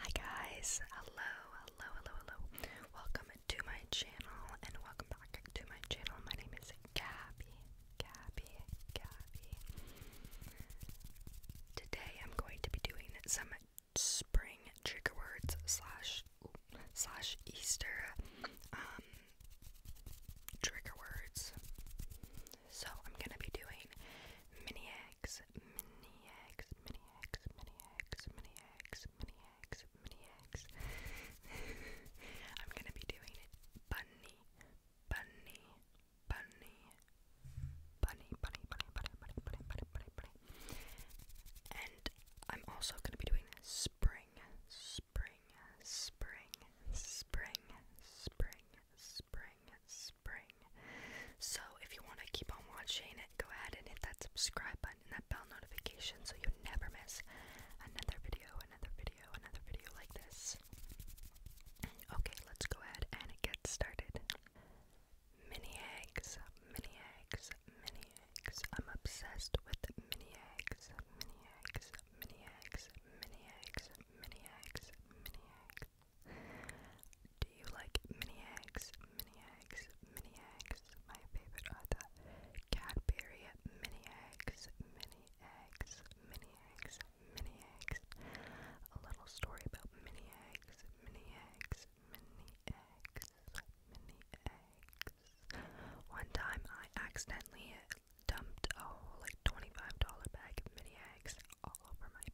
Hi guys, hello, hello, hello, hello. Welcome to my channel and welcome back to my channel. My name is Gabby, Gabby, Gabby. Today I'm going to be doing some spring trigger words slash slash Easter um trigger words. So I'm gonna be doing mini eggs eggs, mini eggs, mini eggs, mini eggs, mini eggs, mini eggs, mini eggs. I'm gonna be doing it bunny, bunny, bunny, bunny, bunny, bunny, bunny, bunny, bunny, bunny, bunny, bunny. And I'm also gonna be doing spring, spring, spring, spring, spring, spring, spring. So if you want to keep on watching it, go ahead and hit that subscribe button and that bell notification so you never miss another video, another video, another video like this. Okay, let's go ahead and get started. Mini eggs, mini eggs, mini eggs. I'm obsessed with mini eggs, mini eggs, mini eggs, mini eggs, mini eggs, mini eggs. Mini eggs. Do you like mini eggs? Mini eggs, mini eggs. My favorite are the Cadbury mini eggs, mini eggs, mini eggs, mini eggs. A little story about mini eggs, mini eggs, mini eggs, mini eggs. One time I accidentally dumped a whole like $25 bag of mini eggs all over my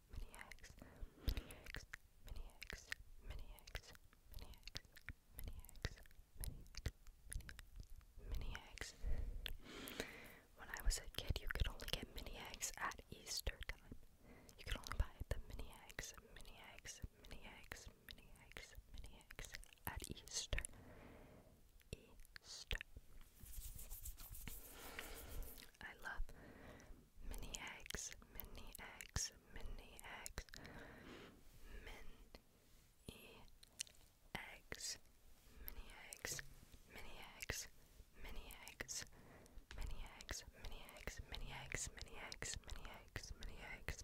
mini eggs, mini eggs, mini eggs, mini eggs, mini eggs, mini eggs, mini eggs, mini eggs. When I was a kid, you could only get mini eggs at Easter time. You could only buy the mini eggs, mini eggs, mini eggs, mini eggs, mini eggs at Easter. Easter. I love mini eggs, mini eggs, mini eggs, mini eggs, mini eggs, mini eggs, mini eggs, mini eggs, mini eggs, mini eggs, mini eggs, mini eggs, mini eggs, mini eggs, mini eggs,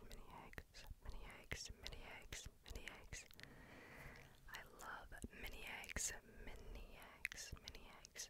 mini eggs, mini eggs. I love mini eggs, mini eggs, mini eggs,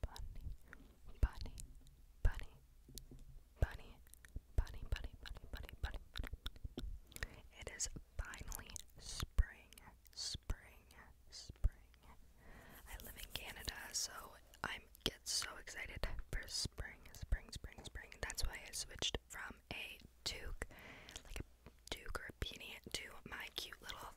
bunny, bunny, bunny, bunny, bunny, bunny, bunny, bunny, bunny, bunny. It is finally spring, spring, spring. I live in Canada, so I get so excited for spring, spring, spring, spring. That's why I switched from a toque, like a toque or a beanie, to my cute little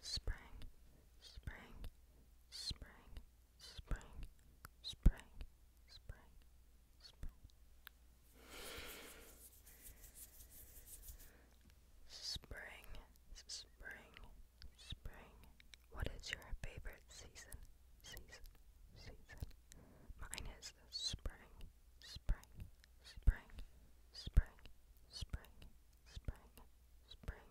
spring, spring, spring, spring, spring, spring, spring. Spring, spring, spring. What is your favorite season? Season, season. Mine is spring, spring, spring, spring, spring, spring, spring,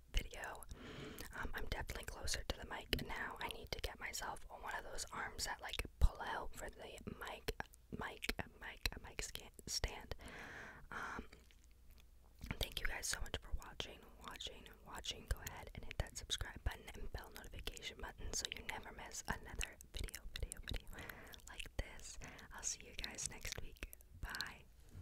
video. Um, I'm definitely closer to the mic now. I need to get myself on one of those arms that like pull out for the mic, mic, mic, mic stand. Um, thank you guys so much for watching, watching, watching. Go ahead and hit that subscribe button and bell notification button so you never miss another video, video, video like this. I'll see you guys next week. Bye.